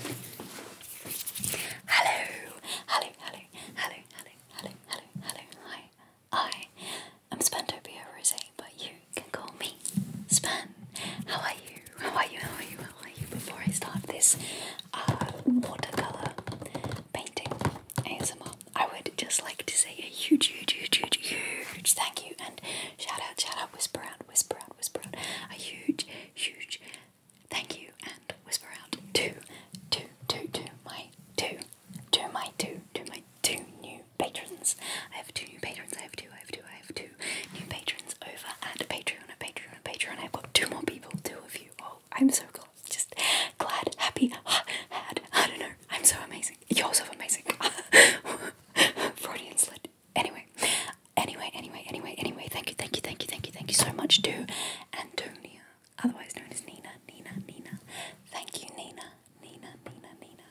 Hello, hello, hello, hello, hello, hello, hello, hi. I am Spandopia Rose, but you can call me Span. How are you? How are you? How are you? How are you? Before I start this uh, watercolor painting ASMR, I would just like to say a huge, huge, huge, huge, huge thank you and shout out, shout out, whisper out, whisper out, whisper out, a huge, huge Thank you, and whisper out to, my two, two, my two, two, my two new patrons. I have two new patrons. I have two. I have two. I have two new patrons over at Patreon. At Patreon. At Patreon. I've got two more people. Two of you. Oh, I'm so glad. Just glad, happy, had. I don't know. I'm so amazing. You're so amazing. Freudian slip. Anyway, anyway, anyway, anyway, anyway, thank you, thank you, thank you, thank you, thank you so much to Antonia, otherwise known as Nina, Nina, Nina. Thank you, Nina, Nina, Nina, Nina.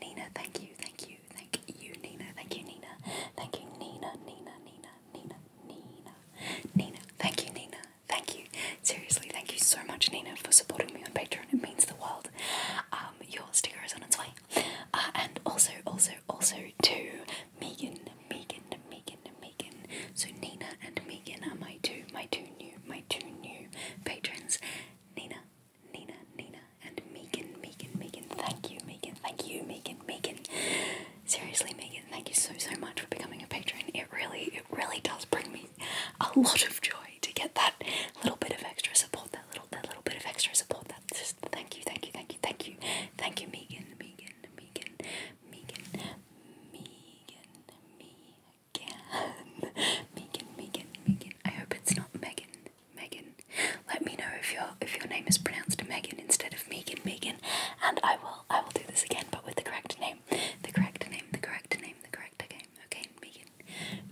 Nina, thank you, thank you, thank you, Nina, thank you, Nina. Thank you, Nina, Nina, Nina, Nina, Nina. Nina, thank you, Nina. Thank you. Seriously, thank you so much, Nina, for supporting me on Patreon. It means the world. Um, your sticker is on its way. Uh, and also, also, also to Megan, Megan, Megan, Megan. So Nina and Megan are my two, my two new, my two new patrons. Nina, Nina, Nina, and Megan, Megan, Megan. Thank you, Megan. Thank you, Megan, Megan. Seriously, Megan, thank you so so much for becoming a patron. It really, it really does bring me a lot of joy to get that little bit of extra support. That little, that little bit of extra support. That yes, thank you, thank you, thank you, thank you, thank you, Megan, Megan, Megan, Megan, Megan, Megan, Megan, Megan, Megan. I hope it's not Megan, Megan. Let me know if your if your name is pronounced Megan instead of Megan, Megan, and I will I will do this again, but with the correct name, the correct name, the correct name, the correct name. Okay, Megan,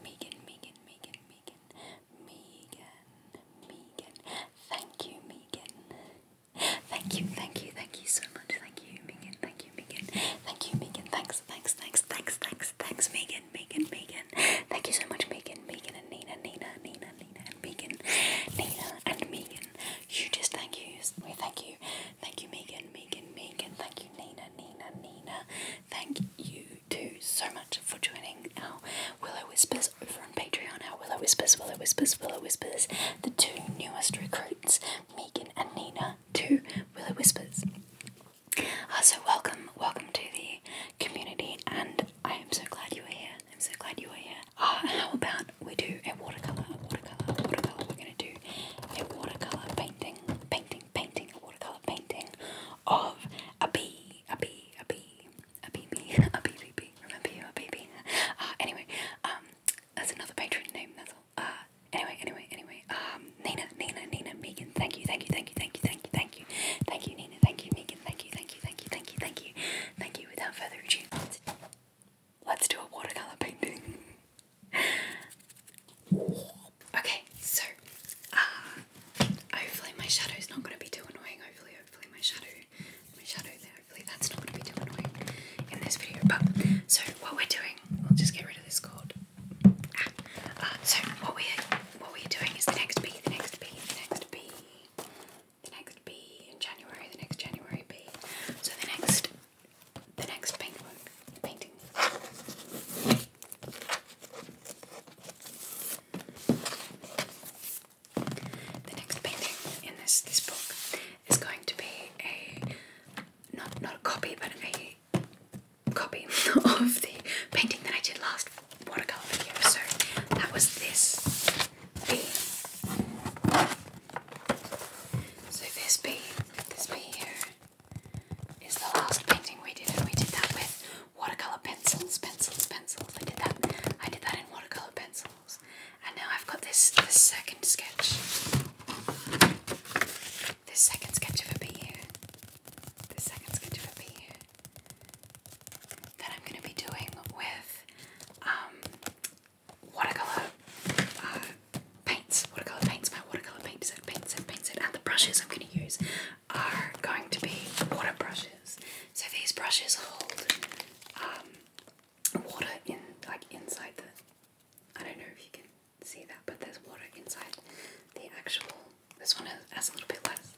Megan, Megan, Megan, Megan. Megan, Megan, Thank you, Megan. Thank you, thank you, thank you so much. Thank you, Megan. Thank you, Megan. Thank you, Megan. Thanks, thanks, thanks, thanks, thanks, thanks, Megan, Megan, Megan. Thank you so much, Megan, Megan, and Nina, Nina, Nina, Nina, and Megan, Nina, and Megan. You just thank you. We thank you. Thank you, Megan, Megan, Megan. Thank you, Nina, Nina, Nina. Thank you too so much for joining our Willow Whispers over on Patreon Willow Whispers, Willow Whispers, Willow Whispers, the two newest recruits, Megan and Nina, two Willow Whispers. Uh, so, welcome, welcome to the community, and I am so glad you are here. I'm so glad you are here. Uh, how about we do a watercolor, a watercolor, a watercolor? We're gonna do a watercolor painting, painting, painting, a watercolor painting of a bee, a bee, a bee a BB, a BBB, remember you, a BB. Uh, anyway, um, that's another patron name, that's all. Uh, anyway, anyway, anyway, um, Nina, Nina, Nina, Megan, thank you, thank you, thank you, thank you, thank you, thank you, thank you, Nina, thank you, Megan, thank you, thank you, thank you, thank you, thank you, thank you, without further ado, let's, let's do a watercolor painting. okay, so, uh, hopefully my shadow's not going to be too annoying, hopefully, hopefully my shadow my shadow there. Hopefully that's not going to be too annoying in this video. But so what we're doing, we'll just get rid of this cord. Ah, uh, so what we what we're doing is the next B, the next B, the next B, the next B in January, the next January B. So the next the next paintwork painting. The next painting in this this book is going to be a not not a copy but a copy of the painting that I did last watercolor video. So that was this bee. So this bee, this bee here is the last painting we did, and we did that with watercolor pencils, pencils, pencils. I did that. I did that in watercolor pencils. And now I've got this, this second sketch. This second sketch of a bee This second sketch of a bee That I'm going to be doing with um, watercolour uh, paints. Watercolour paints, my watercolour paints, set, paint set, paint set. And the brushes I'm going to use are going to be water brushes. So these brushes hold um, water in like inside the. I don't know if you can see that, but there's water inside the actual. This one has, a little bit less.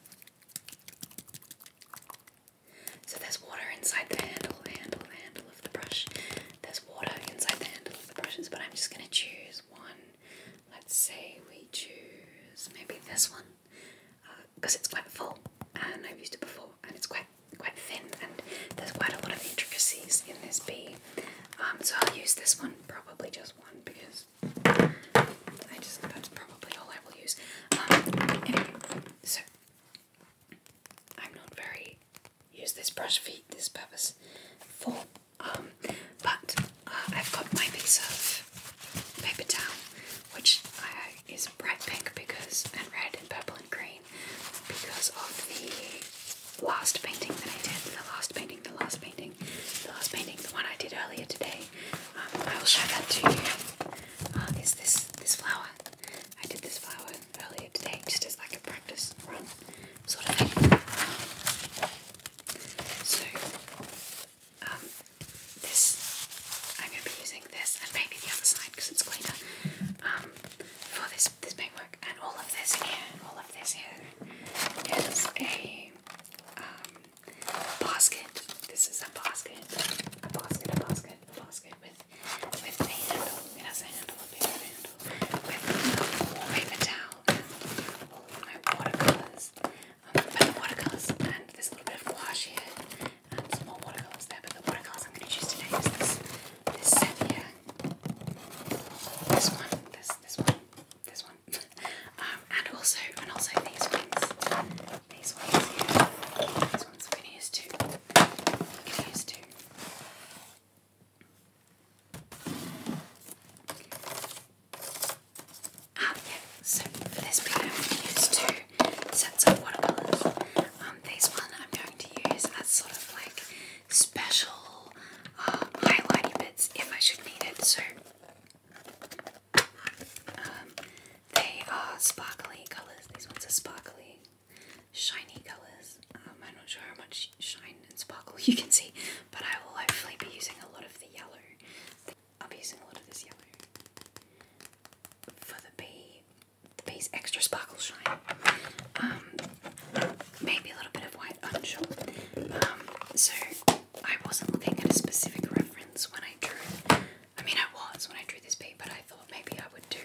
So there's water inside the handle, handle, the handle of the brush. There's water inside the handle of the brushes, but I'm just gonna choose one. Let's say we choose maybe this one because it's quite full and I've used it before and it's quite quite thin and there's quite a lot of intricacies in this bee. Um, so I'll use this one, probably just one, because I just that's probably all I will use. Um, anyway, so I'm not very use this brush for this purpose for, um, but uh, I've got my piece of paper towel which is bright pink because and red and purple and green because of the last painting that I did. The last painting, the last painting, the last painting, the one I did earlier today. Um, I will show that to you. Uh, this this flower? I did this flower earlier today, just as like a practice run sort of thing. So. Um, this, I'm going to be using this and maybe the other side because it's cleaner um, for this, this paintwork. And all of this here, all of this here is a um, basket. This is a basket, a basket, a basket, a basket with, with a handle. It a handle, a handle, with um, a paper towel and watercolours. Um, watercolors and there's little bit of gouache here um, some watercolors there, but the watercolors I'm going to choose today is this, this set this one, this, this one, this one, um, and also, and also these ones, these ones these ones, I'm two, I'm two. Ah, yeah, so for this bit I'm two sets of watercolors. Um, one I'm going to use as sort of like special uh, bits if I should need it. So um, they are sparkly colors. These ones are sparkly, shiny colors. Um, I'm not sure how much shine and sparkle you can see, but I will hopefully be using a lot of the yellow i will be using a lot of this yellow for the bee, the bee's extra sparkle shine. Um, maybe a little bit of white, I'm sure. Um, so I wasn't looking at a specific reference when I drew. I mean, I was when I drew this bee, but I thought maybe I would do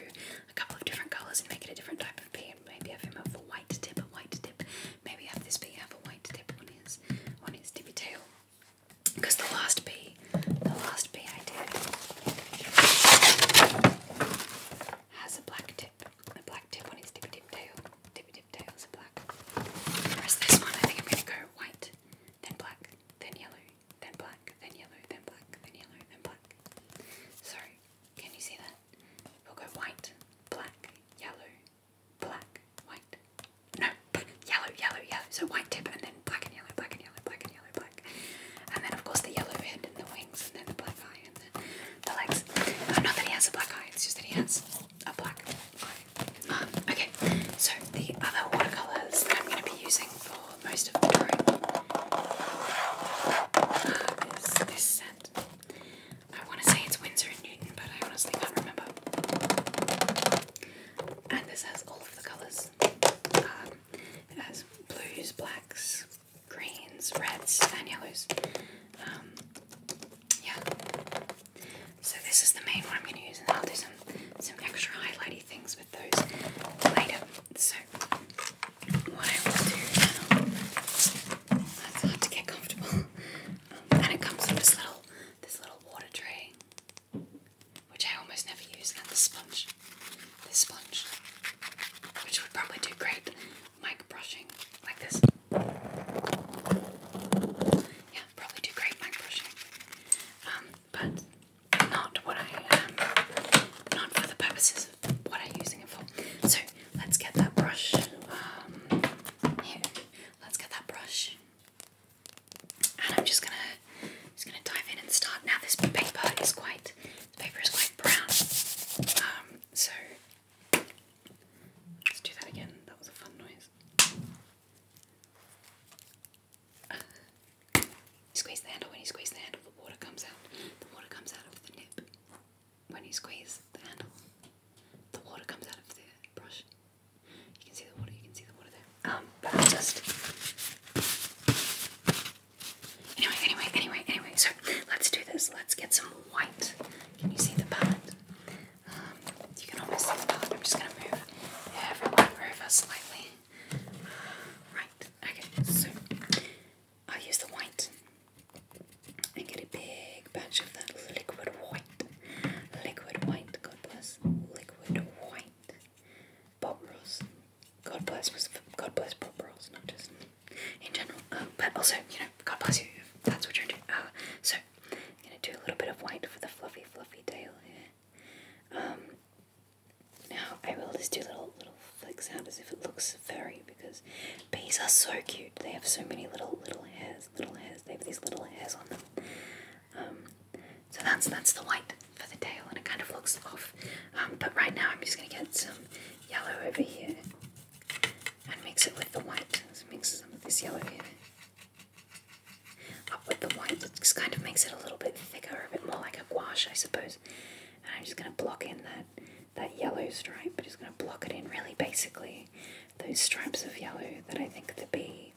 a couple of different colors and make it a different type of bee, and maybe have him have a white tip, a white tip. Maybe have this bee have a white tip on his on his tippy tail. Because the last bee, the last bee I did has a black tip, a black tip on its tippy tip tail. Tippy tip tails are black. Whereas this one, I think I'm going to go white, then black, then yellow, then black, then yellow, then black, then yellow, then black. So, can you see that? We'll go white, black, yellow, black, white. No, yellow, yellow, yellow. So white tip and then black and yellow, black and yellow, black and yellow, black. And then of course the yellow head and the wings and then the black eye and the, the legs. Uh, not that he has a black eye, it's just that he has a black eye. Um, okay, so the other watercolors that I'm going to be using for most of the drawing uh, is this set. I want to say it's Winsor and Newton, but I honestly can't remember. And this has all of the colours um, it has blues, blacks, greens, reds, and yellows. Um, yeah. So this is the main one I'm going to use, and I'll do some some extra highlighty things with those later. So what I will do now. hard to get comfortable. Um, and it comes in this little this little water tray which I almost never use, and the sponge. the sponge, which would probably do great mic brushing like this. Yeah, probably do great mic brushing. Um, but not what I um, not for the purposes of what I'm using it for. So let's get that brush. Um, here, let's get that brush and I'm just gonna just gonna dive in and start. Now this paper is quite paper is quite brown. Um, so let's do that again. That was a fun noise. squeeze the handle. When you squeeze the handle, the water comes out. The water comes out of the nip. When you squeeze the handle, the water comes out of the brush. You can see the water. You can see the water there. Um, but just. Anyway, anyway, anyway, anyway. So let's do this. Let's get some white. Can you see the pot? Um, you can almost see the pot. I'm just gonna move everyone over slightly. Right. Okay. So I'll use the white and get a big batch of that liquid white. Liquid white. God bless. Liquid white. Bob rules. God bless, God bless Bob rules, not just in general. Um, but also, you know, God bless you if that's what you're doing. Uh, so, I'm going to do a little bit of white for the fluffy, fluffy tail here. Um, now, I will just do little, little flicks out as if it looks furry because bees are so cute. They have so many little, little hairs, little hairs. They have these little hairs on them. Um, so that's that's the white for the tail, and it kind of looks off. Um, but right now, I'm just gonna get some yellow over here and mix it with the white. mix some of this yellow up with the white. just kind of makes it a little bit thicker, a bit more like a gouache, I suppose. And I'm just gonna block in that that yellow stripe. But Just gonna block it in really basically. Those stripes of yellow that I think the bee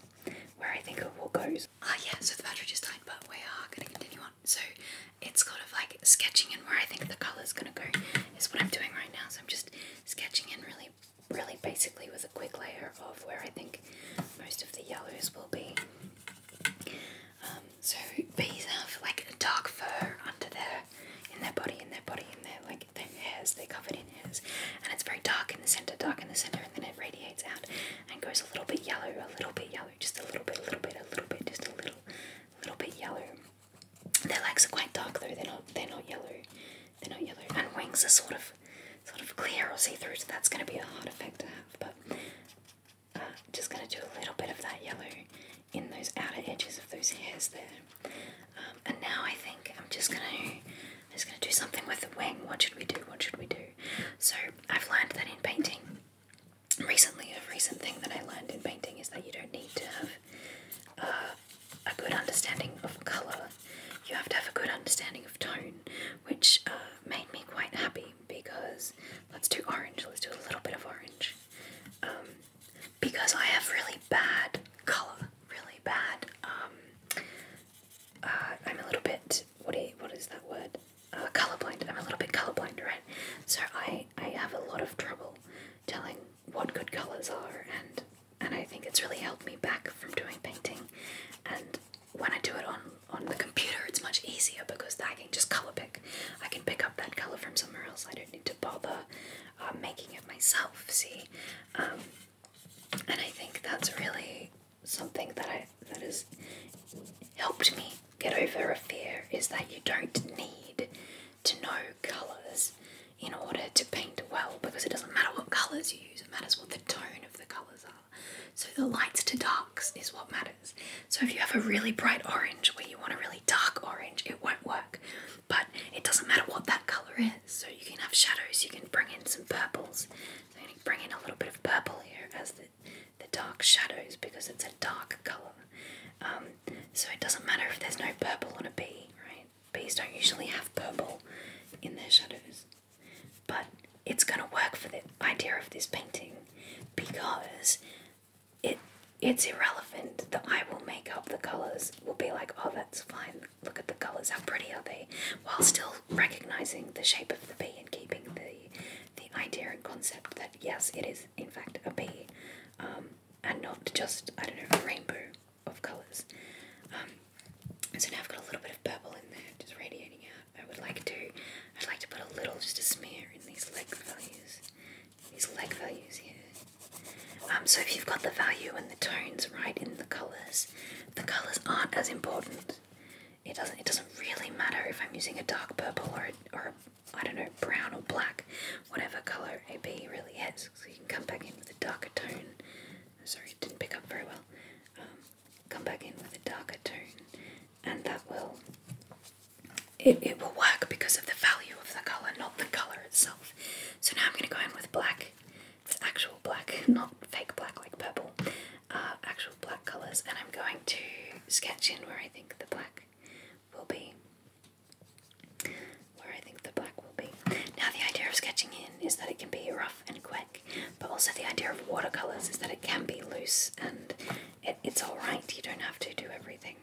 where I think it all goes. Ah, yeah, so the battery just died, but we are going to continue on. So it's kind of like sketching in where I think the color is going to go, is what I'm doing right now. So I'm just sketching in really, really basically with a quick layer of where I think most of the yellows will be. Um, so bees have like a dark fur under their, in their body, in their body, in their like their hairs. They're covered in hairs, and it's very dark in the center, dark in the center, and then it radiates out and goes a little bit yellow, a little bit yellow, just a little bit, a little bit, a little bit, just a little, little bit yellow. Their legs are quite dark though. They're not. They're not yellow. They're not yellow. And wings are sort of, sort of clear or see through. So that's going to be a hard effect to have. But uh, just going to do a little bit of that yellow in those outer edges of those hairs there. Um, and now I think I'm just going to, I'm just going to do something with the wing. What should we do? What should we do? So I've learned that in painting, recently, a recent thing that I learned in painting is that you don't need to have uh, a good understanding of colour, you have to have a good understanding of tone, which uh, made me quite happy because let's do orange, let's do a little bit of orange. Um, because I have really bad colour, really bad um, uh, I'm a little bit what what is that word? Uh, colorblind. I'm a little bit colorblind, right? So I I have a lot of trouble telling what good colors are, and and I think it's really held me back from doing painting. And when I do it on on the computer, it's much easier because I can just color pick. I can pick up that color from somewhere else. I don't need to bother uh, making it myself. See, um, and I think that's really something that I that has helped me get over a fear is that you don't need to know colours in order to paint well because it doesn't matter what colours you use, it matters what the tone of the colours are. So the lights to darks is what matters. So if you have a really bright orange where you want a really dark orange, it won't work. But it doesn't matter what that colour is. So you can have shadows, you can bring in some purples. I'm going to bring in a little bit of purple here as the the dark shadows because it's a dark colour. Um, so it doesn't matter if there's no purple on a bee, right? Bees don't usually have purple in their shadows. But it's going to work for the idea of this painting because it it's irrelevant. The eye will make up the colours, will be like, oh, that's fine. Look at the colours, how pretty are they? While still recognising the shape of the bee and keeping the the idea and concept that yes, it is in fact a bee, um, and not just I don't know a rainbow of colours. Um, so now I've got a little bit of purple in there, just radiating out. I would like to, I'd like to put a little, just a smear in these leg values, these leg values here. Um, so if you've got the value and the tones right in the colours, the colours aren't as important it doesn't it doesn't really matter if I'm using a dark purple or or a, I don't know brown or black, whatever color a B really is. So you can come back in with a darker tone. Sorry, it didn't pick up very well. Um, come back in with a darker tone, and that will it it will work because of the value of the color, not the color itself. So now I'm going to go in with black, It's actual black, not fake black like purple uh, actual black colours, and I'm going to sketch in where I think the black will be. Where I think the black will be. Now, the idea of sketching in is that it can be rough and quick, but also the idea of watercolours is that it can be loose and it, it's alright. You don't have to do everything.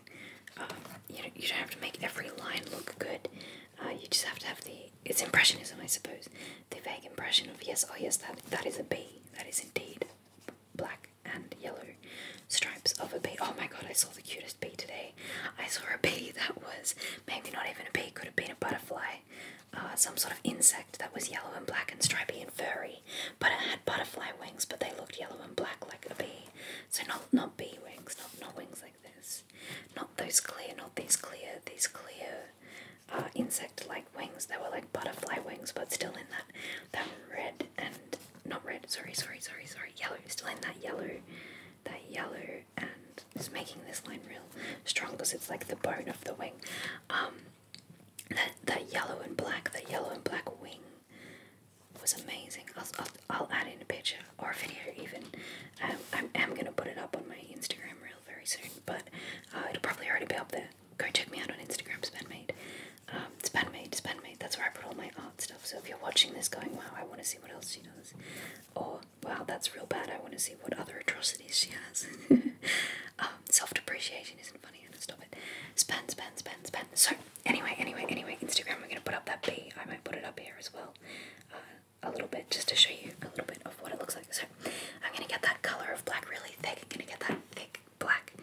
Um, you, don't, you don't have to make every line look good. Uh, you just have to have the. It's impressionism, I suppose. The vague impression of yes, oh yes, that that is a bee. That is indeed black and yellow stripes of a bee. Oh my god, I saw the cutest bee today. I saw a bee that was maybe not even a bee, could have been a butterfly, uh, some sort of insect that was yellow and black and stripy and furry, but it had butterfly wings, but they looked yellow and black like a bee. So not not bee wings, not not wings like this, not those clear, not these clear, these clear uh, insect-like wings. They were like butterfly wings, but still in that that red and not red. Sorry, sorry, sorry, sorry. Yellow. Still in that yellow, that yellow, and it's making this line real strong because it's like the bone of the wing. Um, that that yellow and black, that yellow and black wing was amazing. I'll, I'll, I'll add in a picture or a video even. Um, I am gonna put it up on my Instagram real very soon, but uh, it'll probably already be up there go check me out on Instagram, Spenmade. Um, Spenmade, Spenmade, that's where I put all my art stuff. So if you're watching this going, wow, I want to see what else she does, or wow, that's real bad, I want to see what other atrocities she has. Um, Self depreciation isn't funny, stop it. Spen, spen, spen, spen. So, anyway, anyway, anyway, Instagram, we're going to put up that B. I might put it up here as well. Uh, a little bit just to show you a little bit of what it looks like. So I'm gonna get that color of black really thick. I'm gonna get that thick black.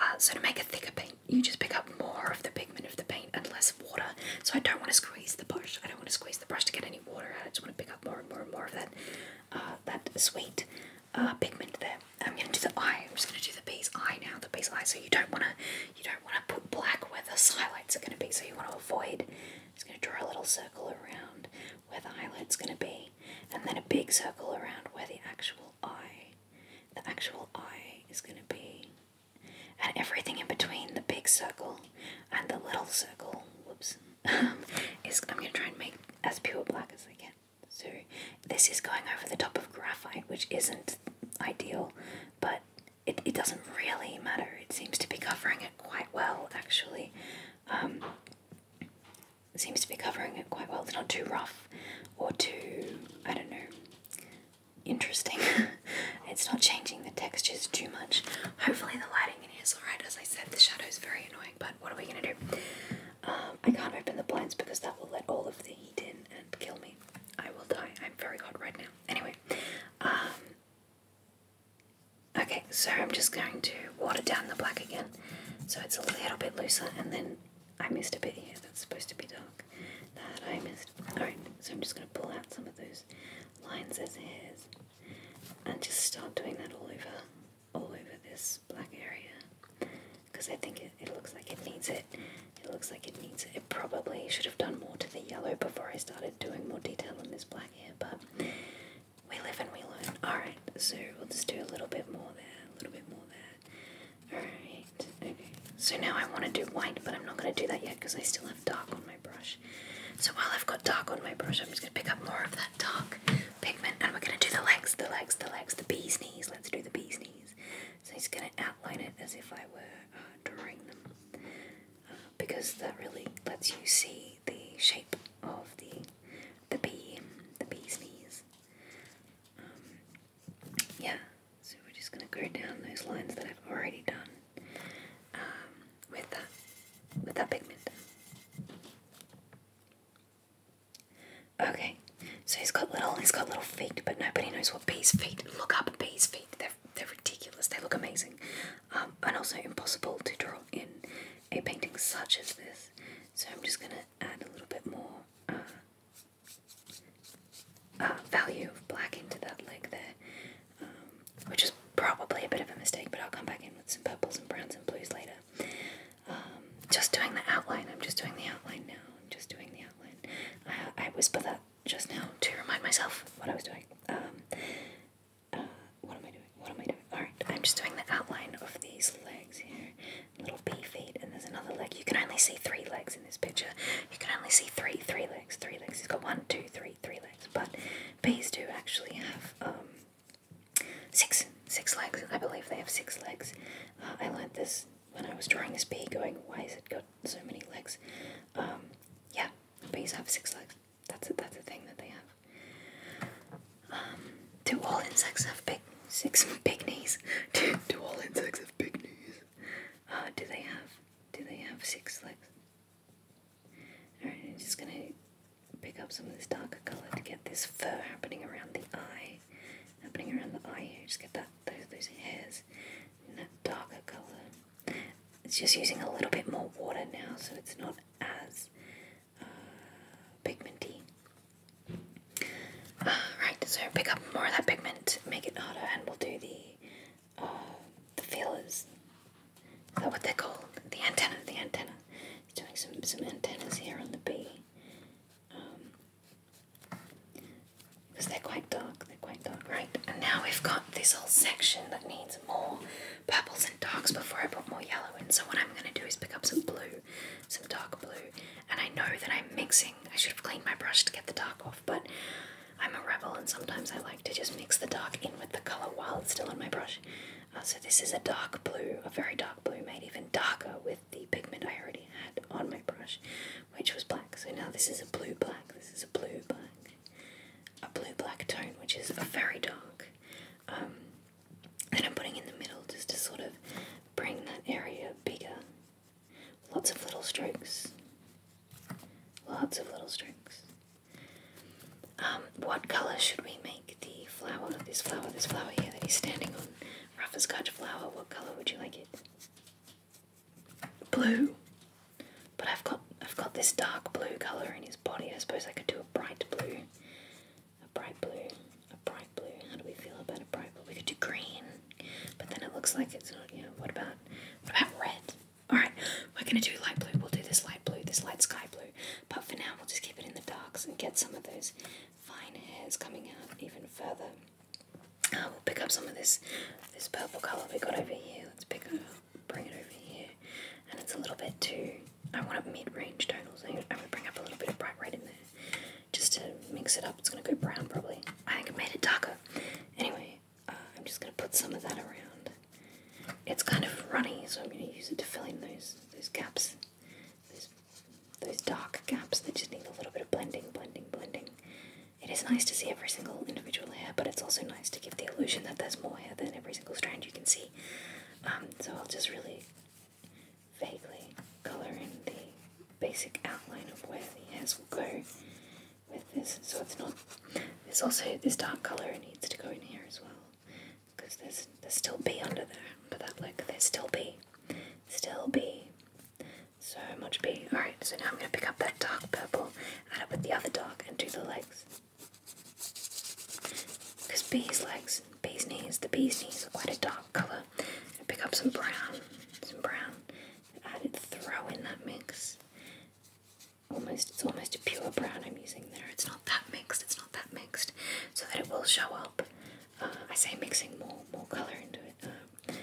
Uh, so to make a thicker paint, you just pick up more of the pigment of the paint and less water. So I don't want to squeeze the brush. I don't want to squeeze the brush to get any water out. I just want to pick up more and more and more of that uh, that sweet uh, pigment there. I'm gonna do the eye. I'm just gonna do the bee's eye now. The bee's eye. So you don't wanna you don't wanna put black where the highlights are gonna be. So you want to avoid. just gonna draw a little circle around where the highlight's gonna be and then a big circle around where the actual eye, the actual eye is going to be, and everything in between the big circle and the little circle. Whoops, is I'm going to try and make as pure black as I can. So this is going over the top of graphite, which isn't ideal, but it, it doesn't really matter. It seems to be covering it quite well, actually. Um, seems to be covering it quite well. It's not too rough or too, I don't know, interesting. it's not changing the textures too much. Hopefully, the lighting in here is alright. As I said, the shadows very annoying, but what are we gonna do? Um, I can't open the blinds because that will let all of the heat in and kill me. I will die. I'm very hot right now. Anyway, um, okay, so I'm just going to water down the black again so it's a little bit looser and then I missed a bit here that's supposed to be dark that I missed. Alright, so I'm just going to pull out some of those lines as hairs and just start doing that all over, all over this black area because I think it, it looks like it needs it. It looks like it needs it. It probably should have done more to the yellow before I started doing more detail on this black here, but we live and we learn. Alright, so we'll just do a little bit more there, a little bit more there. Alright, okay. So now I want to do white, but I'm not going to do that yet because I still have dark on my brush. So while I've got dark on my brush, I'm just going to pick up more of that dark pigment and we're going to do the legs, the legs, the legs, the bee's knees. Let's do the bee's knees. So he's going to outline it as if I were uh, drawing them uh, because that really lets you see the shape of the the bee, the bee's knees. Um, yeah, so we're just gonna go down those lines that I've already done um, with that with that pigment. Okay, so he's got little he's got little feet, but nobody knows what bees' feet. Look up bees' feet; they're they're ridiculous. They look amazing, um, and also impossible to draw in a painting such as this. So I'm just going to add a little bit more uh, uh, value of black into that leg there, um, which is probably a bit of a mistake, but I'll come back in with some purples and browns and blues later. Um, just doing the outline. I'm just doing the outline now. I'm just doing the outline. I, I whisper that just now to remind myself what I was doing. Um, uh, what am I doing? What am I doing? Alright, I'm just doing the outline of these legs here. Little bee feet, and there's another leg. You can only see three legs in this picture. You can only see three, three legs, three legs. He's got one, two, three, three legs. But bees do actually have um, six, six legs. I believe they have six legs. Uh, I learned this when I was drawing this bee, going, why has it got so many legs? Um, yeah, bees have six legs. That's a, that's a thing that they have. Um, do all insects have big six big knees? do, all insects have big knees? Uh, do they have do they have six legs? Alright, I'm just gonna pick up some of this darker colour to get this fur happening around the eye. Happening around the eye here, just get that those hairs in that darker colour. It's just using a little bit more water now so it's not as pigmenty. Uh, ah, right, so pick up more of that pigment, make it harder, and we'll do the uh, the feelers. Is that what they call The antenna, the antenna. He's doing some, some antennas here on the B. Because um, they're quite dark, they're quite dark. Right, and now we've got this whole section that needs more purples and darks before I put more yellow in. So what I'm going to do is pick up some blue some dark blue, and I know that I'm mixing. I should have cleaned my brush to get the dark off, but I'm a rebel and sometimes I like to just mix the dark in with the colour while it's still on my brush. Uh, so this is a dark blue, a very dark blue made even darker with the pigment I already had on my brush, which was black. So now this is a blue black, this is a blue black, a blue black tone, which is a very dark. Um, and I'm putting in the middle just to sort of bring that area bigger. Lots of little strokes. Lots of little strokes. Um, what colour should we make the flower? This flower, this flower here that he's standing on. Rough as Scotch flower, what colour would you like it? Blue. But I've got I've got this dark blue colour in his body. I suppose I could do a bright blue a bright blue, a bright blue. How do we feel about a bright blue? We could do green, but then it looks like it's not. Yeah. what about what about red? All right, we're gonna do light blue. We'll do this light blue, this light sky blue. But for now, we'll just keep it in the darks and get some of those fine hairs coming out even further. Uh, we'll pick up some of this this purple color we got over here. Let's pick it up, bring it over here, and it's a little bit too I want a mid-range tonal thing. I'm gonna bring up a little bit of bright red in there just to mix it up. It's gonna go brown probably. I think I made it darker. Anyway, uh, I'm just gonna put some of that around. It's kind of runny, so I'm gonna use it to fill in those those gaps. Those dark gaps that just need a little bit of blending, blending, blending. It is nice to see every single individual hair, but it's also nice to give the illusion that there's more hair than every single strand you can see. Um, so I'll just really vaguely, coloring the basic outline of where the hairs will go with this. So it's not. There's also this dark color needs to go in here as well, because there's there's still B under there. But that look, there's still B, still B, so much B. All right, so now I'm gonna pick up that dark purple, add it with the other dark, and do the legs. Because B's legs bee's knees. The bee's knees are quite a dark colour. I pick up some brown, some brown. I did throw in that mix. Almost, it's almost a pure brown I'm using there. It's not that mixed. It's not that mixed, so that it will show up. Uh, I say mixing more, more colour into it, um,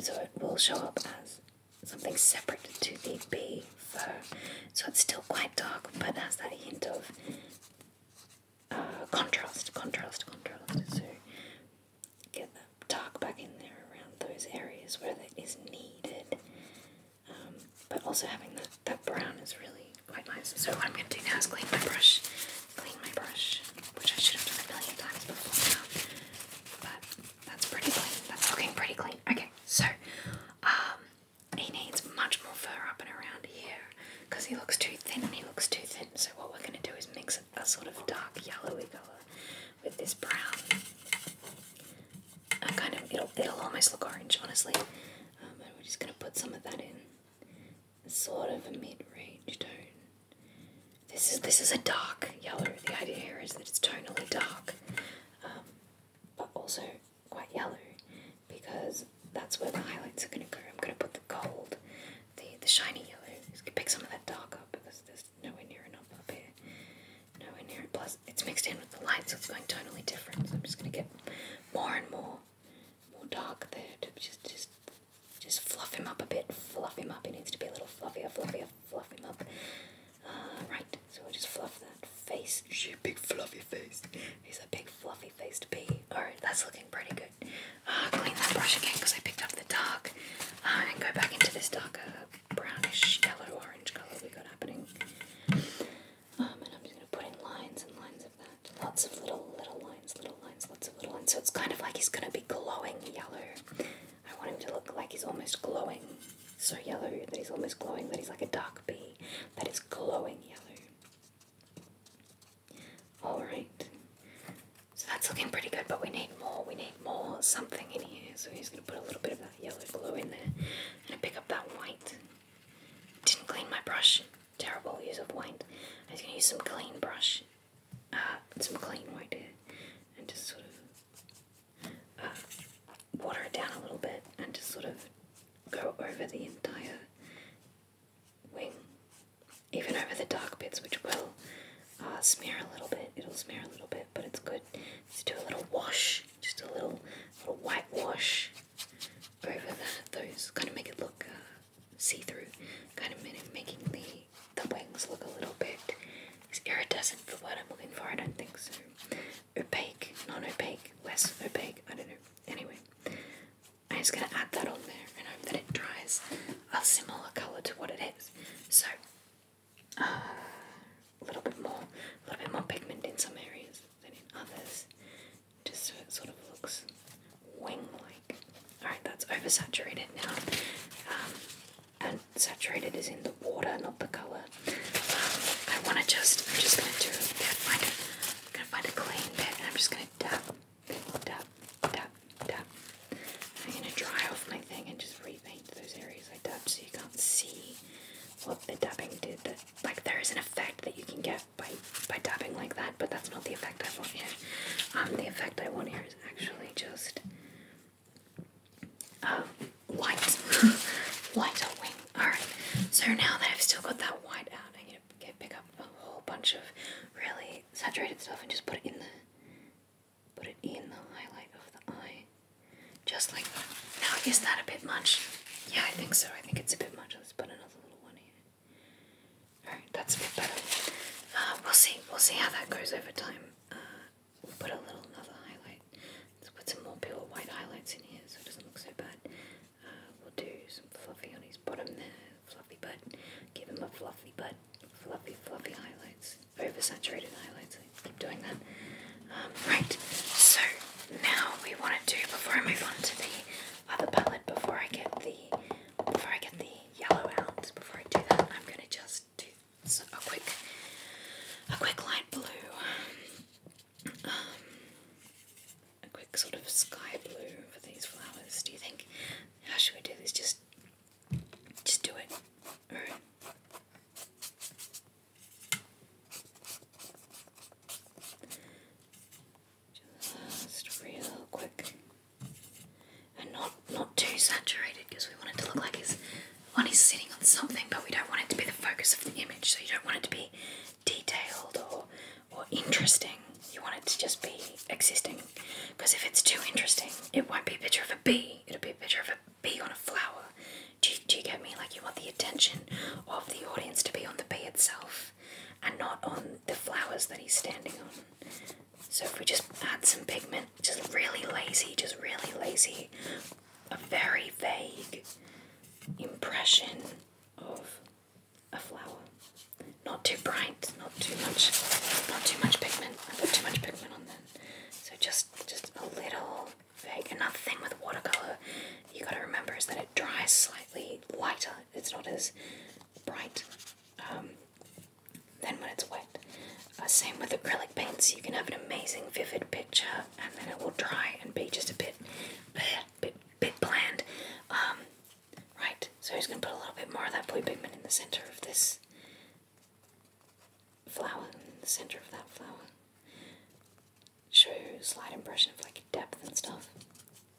so it will show up as something separate to the bee fur. So it's still quite dark, but has that hint of Contrast, contrast, contrast. So get that dark back in there around those areas where that is needed. Um, but also having that, that brown is really quite nice. So what I'm going to do now is clean my brush. Clean my brush, which I should have done a million times before now. But that's pretty clean. That's looking pretty clean. Okay, so um, he needs much more fur up and around here because he looks too thin and he looks too thin. So what we're going to do is mix a sort of dark yellowy colour with this brown. I kind of it'll it'll almost look orange, honestly. Um, and we're just going to put some of that in, sort of a mid-range tone. This is this is a dark yellow. The idea here is that it's tonally dark, um, but also quite yellow because that's where the highlights are going to go. I'm going to put the gold, the, the shiny yellow, pick some of that dark up because there's nowhere near enough up here. Nowhere near it. Plus, it's mixed in with the light, so it's going totally different. So I'm just going to get more and more, more dark there to just, just, just fluff him up a bit. Fluff him up. He needs to be a little fluffier, fluffier, fluff him up. Uh, right, so I just fluff that face. She big fluffy face. He's a big fluffy faced bee. Alright, oh, that's looking pretty good. Uh, clean that brush again because I picked up the dark uh, and go back into this darker brownish yellow orange colour we got happening. Um, and I'm just going to put in lines and lines of that. Lots of little, little lines, little lines, lots of little lines. So it's kind of like he's going to be glowing yellow. I want him to look like he's almost glowing. So yellow that he's almost glowing, that he's like a dark bee that is glowing yellow. Alright. So that's looking pretty good, but we need more. We need more something in here. So he's going to put a little bit of that yellow glue in there. i pick up that white. Didn't clean my brush. Terrible use of white. I'm going to use some clean brush. Uh, some clean white here. And just sort of uh, water it down a little bit and just sort of go over the entire wing, even over the dark bits, which will uh, smear a little bit. It'll smear a little bit, but it's good to do a little wash, just a little, little white wash over that. Those kind of make it look uh, see-through, kind of making the the wings look a little bit. Is iridescent For what I'm looking for? I don't think so. Opaque, non-opaque, less opaque. I don't know. Anyway, I'm just going to add that on there and hope that it dries a similar colour to what it is. So, uh, a little bit more, a little bit more pigment in some areas than in others, just so it sort of looks wing-like. Alright, that's oversaturated now. Um, and saturated is in the water, not the colour. Um, I want to just, I'm just going to do, I'm going to find a clean bit and I'm just going to tap, tap, tap, tap. I'm going to dry off my thing and just repaint those areas I tapped so you can't see what the dabbing did. That, like, there is an effect that you can get by, by dabbing like that, but that's not the effect I want here. Um, the effect I want here is actually just uh, light, lighter wing. Alright, so now that I've still got that white out, to pick up a whole bunch of really saturated stuff and just put it in the put it in the highlight of the eye, just like that. Now is that a bit much? Yeah, I think so. I think it's a bit much. Let's put another little one here. Alright, that's a bit better. Uh, we'll see. We'll see how that goes over time. Uh, we'll put a little another highlight. Let's put some more pure white highlights in here so it doesn't look so bad. We'll do some fluffy on his bottom there. Fluffy butt. Give him a fluffy butt. Fluffy, fluffy highlights. saturated highlights. keep doing that. Um, right, so now we want to do, before I move on to the other palette, before I get the, before I get the yellow out, before I do that, I'm going to just do a quick, a quick light blue. Um, a quick sort of sky blue for these flowers. Do you think? How should we do this? Just, just do it. All right. Just real quick, and not not too saturated because we want it to look like his one is sitting on something, but we don't want it to be the focus of the image. So you don't want it to be detailed or or interesting. You want it to just be existing. Because if it's too interesting, it won't be a picture of a bee. It'll be a picture of a bee on a flower. Do do you get me? Like you want the attention of the audience to be on the bee itself and not on the flowers that he's standing on. So if we just add some pigment, just really lazy, just really lazy, a very vague impression of a flower. Not too bright, not too much, not too much pigment. I put too much pigment on them, so just just a little vague. Another thing with watercolor, you got to remember is that it dries slightly lighter. It's not as bright um, then when it's wet. Uh, same with acrylic paints. You can have an amazing vivid picture, and then it will dry and be just a bit, bit, bit bland. Um, Right, so he's going to put a little bit more of that blue pigment in the center of this flower, in the center of that flower. Show a slight impression of like depth and stuff.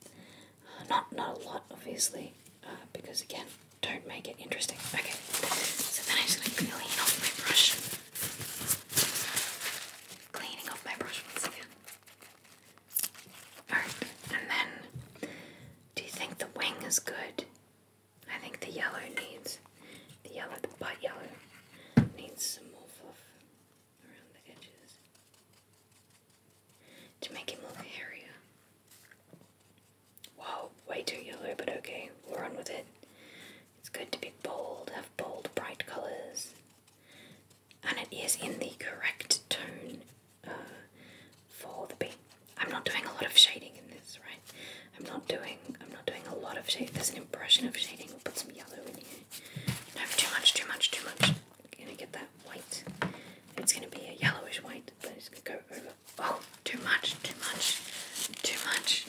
Uh, not, not a lot, obviously, uh, because again, don't make it interesting. Okay, so then I'm just going to clean off my brush. Cleaning off my brush and then do you think the wing is good? I think the yellow needs the yellow, but yellow needs some more fluff around the edges to make it more hairier. Wow, way too yellow, but okay, we're on with it. It's good to be bold, have bold, bright colors and it is in the correct tone uh, for the B. I'm not doing a lot of shading in this, right? I'm not doing I'm not doing a lot of shading. There's an impression of shading. We'll put some yellow in here. No, too much, too much, too much. I'm gonna get that white. It's gonna be a yellowish white, but it's gonna go over. Oh, too much, too much, too much.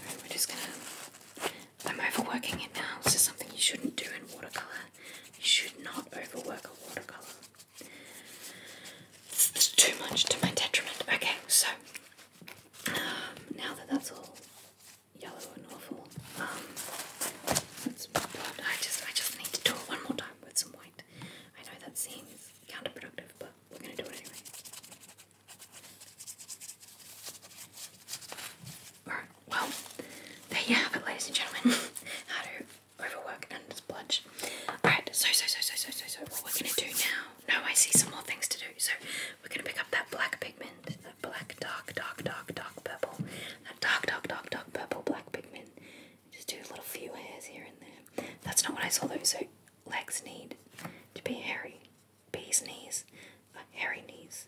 Alright, we're just gonna I'm overworking it now. This is something you shouldn't do in watercolour. You should not overwork a watercolour. This is too much to my detriment. Okay, so um, now that that's all yellow and awful, um, I just I just need to do it one more time with some white. I know that seems counterproductive, but we're gonna do it anyway. Right, well, there you have it, ladies and gentlemen. How to overwork and splurge. Alright, so, so, so, so, so, so, so, what we're gonna do now. No, I see some more things to do. So, we're gonna pick up that black pigment, that black, dark, dark, dark, dark purple, that dark, dark, dark, dark purple, black pigment. Just do a little few hairs here and there. That's not what I saw though, so legs need to be hairy. Bees' knees hairy knees.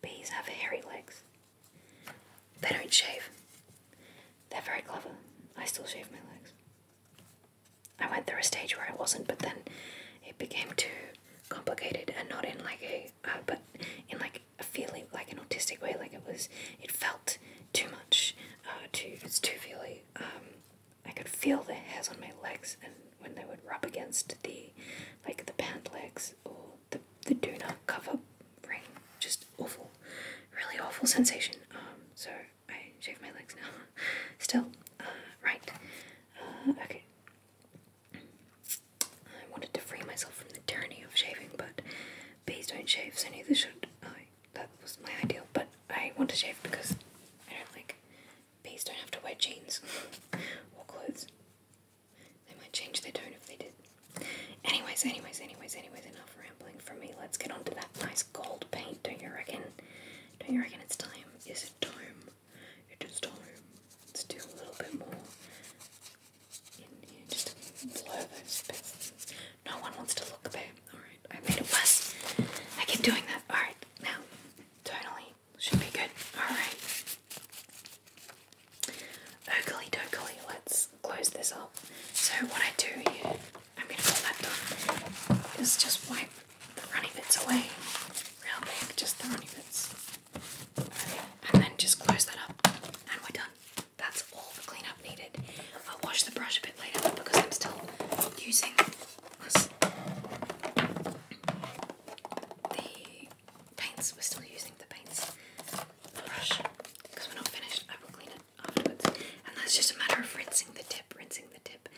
Bees have hairy legs. They don't shave. They're very clever. I still shave my legs. I went through a stage where I wasn't, but then it became too complicated and not in like a, uh, but in like a feeling, like an autistic way. Like it was, it felt too much. Uh, too, it's too feely. Um, I could feel the hairs on my legs and when they would rub against the like the pant legs or the the do not cover ring. Just awful, really awful sensation. Um, so I shave my legs now. Still, uh, right. Uh, okay. I wanted to free myself from the tyranny of shaving, but bees don't shave, so neither should I. That was my ideal, but I want to shave because I don't like Bees don't have to wear jeans or clothes. They might change their tone if they did. Anyways, anyways, anyways, anyways, enough rambling for me. Let's get onto that nice gold paint, don't you reckon? Don't you reckon it's time? Is it time? It is time. Let's do a little bit more in here. Just blur those bits. No one wants to look there. Alright, I made it worse. I keep doing that. Alright, now, tonally, should be good. Alright. Oakley dokley, let's close this up. So, what I do I'm going to put that done, is just wipe the runny bits away real big, just the runny bits. And then just close that up, and we're done. That's all the cleanup needed. I'll wash the brush a bit later because I'm still using the paints. We're still using the paints brush because we're not finished. I will clean it afterwards. And that's just a matter of rinsing the tip, rinsing the tip.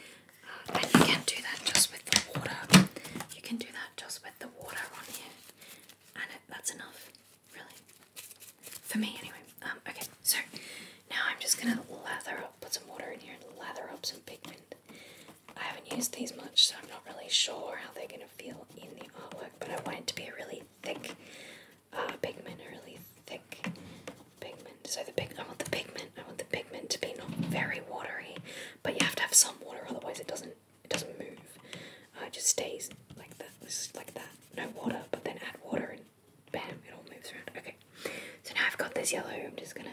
Uh, and you can do that just with the water. You can do that just with the water on here. And that's enough, really. For me, anyway. Um, okay, so now I'm just going to lather up, put some water in here and lather up some pigment. I haven't used these much, so I'm not really sure how they're going to feel in the artwork, but I want it to be a really thick uh, pigment, a really thick pigment. So the pig I want the pigment, I want the pigment to be not very watery, but you have to have some water, otherwise it doesn't it doesn't move. Uh, it just stays like that, just like that. No water, but then add water and bam, it all moves around. Okay, so now I've got this yellow, I'm just gonna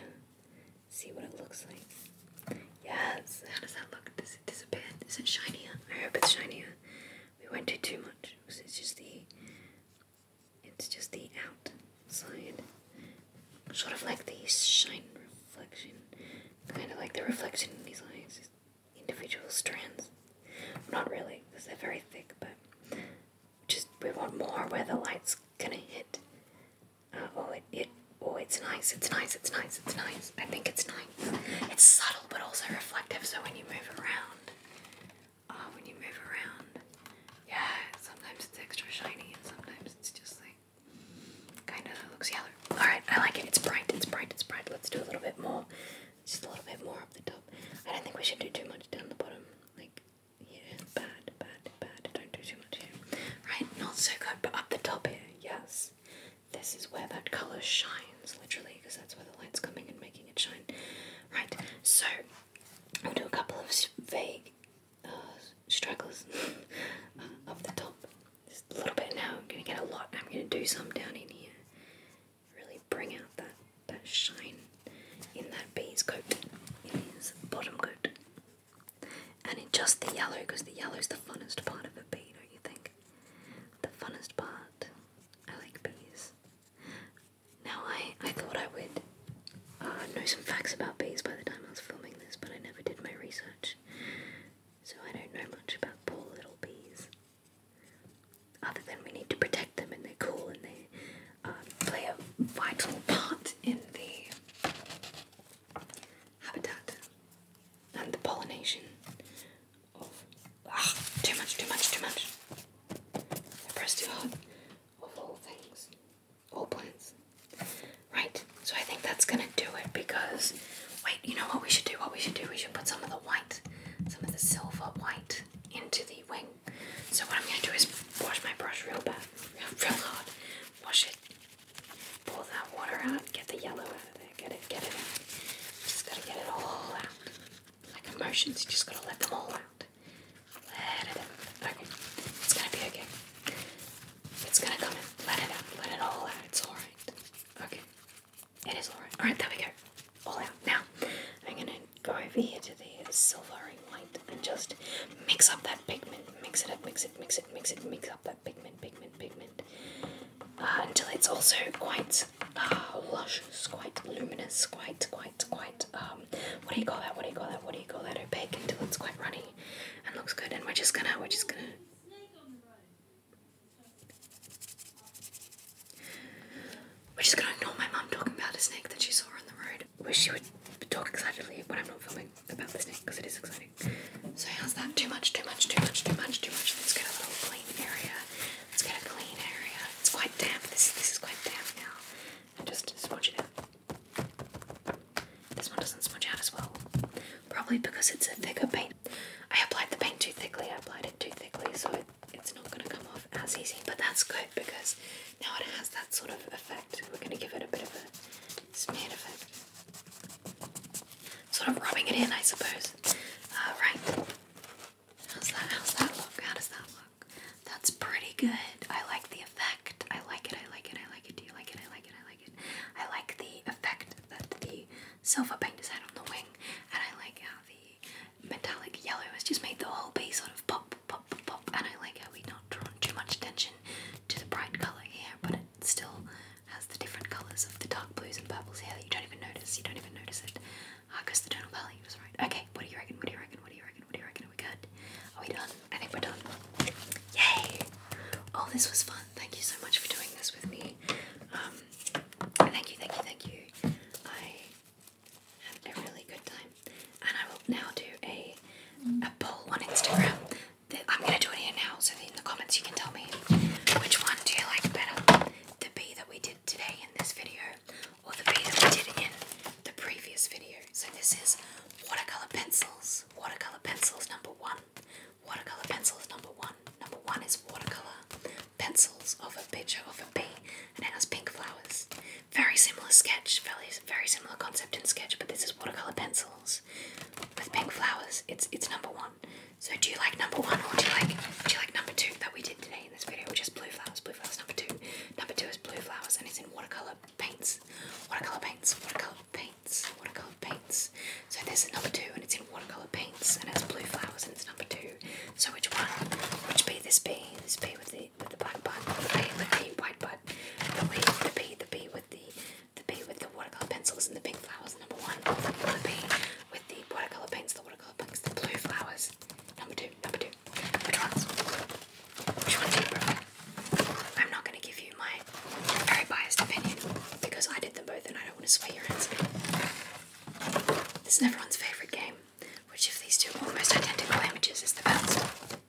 see what it looks like. Yes, how does that look? Does it disappear? Is it shinier? I hope it's shinier. We won't do too much because it's just the it's just the outside. Sort of like the shine reflection. Kind of like the reflection in these eyes. Just individual strands. Not really, because they're very thick, but just we want more where the light's gonna hit oh, it, it, oh, it's nice. It's nice. It's nice. It's nice. I think it's nice. It's subtle, but also reflective. So when you move around, uh, when you move around, yeah. Sometimes it's extra shiny, and sometimes it's just like kind of looks yellow. All right, I like it. It's bright. It's bright. It's bright. Let's do a little bit more. Just a little bit more up the top. I don't think we should do too much down the bottom. Like, yeah, bad, bad, bad. Don't do too much here. Right, not so good, but up the top here, yes. This is where that colour shines, literally, because that's where the light's coming and making it shine. Right, so I'll do a couple of vague uh, struggles uh, up the top. Just a little bit now, I'm going to get a lot. I'm going to do some down in here. Really bring out that, that shine in that bee's coat, in his bottom coat. And in just the yellow, because the yellow is the funnest part of a bee, don't you think? The funnest part. I like bees. Now, I, I thought I would uh, know some facts about bees by the time I was filming this, but I never did my research. So I don't know much about poor little bees. Other than we need to protect them and they're cool and they uh, play a vital part in the habitat and the pollination of ah, too much, too much, too much. I press too hard of all things, all plants. Right, so I think that's gonna do it because wait, you know what we should do? What we should do? We should put some of the white, some of the silver white into the wing. So what I'm gonna do is wash my brush real bad, real, real hard, wash it Pull that water out, get the yellow out of there, get it, get it out. You just gotta get it all out. Like emotions, you just gotta let them all out. Let it out. Okay. It's gonna be okay. It's gonna come in. Let it out. Let it all out. It's alright. Okay. It is alright. Alright, there we go. All out. Now, I'm gonna go over here to the silvery white and just mix up that pigment. Mix it up, mix it, mix it, mix it, mix up pigment, pigment, pigment, uh, until it's also quite uh, luscious, quite luminous, quite, quite, quite. Um, what do you call that? What do you call that? What do you call that? Opaque until it's quite runny and looks good. And we're just gonna, we're just gonna. We're just gonna ignore my mum talking about a snake that she saw on the road, where she would talk excitedly when I'm not filming excitement about listening because it is exciting. So how's that? Too much, too much, too much, too much, too much. Let's get a little clean area. Let's get a clean area. It's quite damp. This this is quite damp now. And just smudge it out. This one doesn't smudge out as well. Probably because it's a thicker paint. I applied the paint too thickly. I applied it too thickly, so it, it's not going to come off as easy. But that's good because now it has that sort of effect. We're going to give it a bit of a it's made Sort of rubbing it in, I suppose. Uh, right. How's that? How's that look? How does that look? That's pretty good. I like the effect. I like it. I like it. I like it. Do you like it? I like it. I like it. I like the effect that the silver paint is had on the wing, and I like how the metallic yellow has just made the whole base sort of pop, pop, pop. pop. And I like how we not drawn too much attention to the bright color here, but it it still has the different colours of the dark blues and purples here that you don't even notice. You don't even notice it. Ah, because the tonal palette was right. Okay, what do you reckon? What do you reckon? What do you reckon? What do you reckon? Are we good? Are we done? I think we're done. Yay! Oh, this was fun. Thank you so much for doing this with me. Um, thank you, thank you, thank you. I had a really good time, and I will now do a a poll on Instagram I'm gonna do it here now, so in the comments you can tell me which one do you like better, the bee that we did today in this video, or the bee that we did in the previous video. So this is watercolor pencils. Watercolor pencils number one. Watercolor pencils number one. Number one is watercolor pencils of a picture of a and it has pink flowers. Very similar sketch, very very similar concept in sketch, but this is watercolor pencils with pink flowers. It's it's number one. So do you like number one or do you like do you like number two that we did today in this video, which is blue flowers? Blue flowers number two. Number two is blue flowers and it's in watercolor paints. Watercolor paints. Watercolor paints. Watercolor paints. So this is number two and it's in watercolor paints and it's blue flowers and it's number two. So which one? Which be this B? This B with the with the black butt. The B with the white butt. The B the B the B with the the B with the watercolor pencils and the pink flowers, number one. The B with the watercolor paints, the watercolor pinks, the blue flowers, number two. Number two. Which ones? Which I'm not going to give you my very biased opinion because I did them both and I don't want to sway your answer. This is everyone's favourite game. Which of these two almost identical images is the best?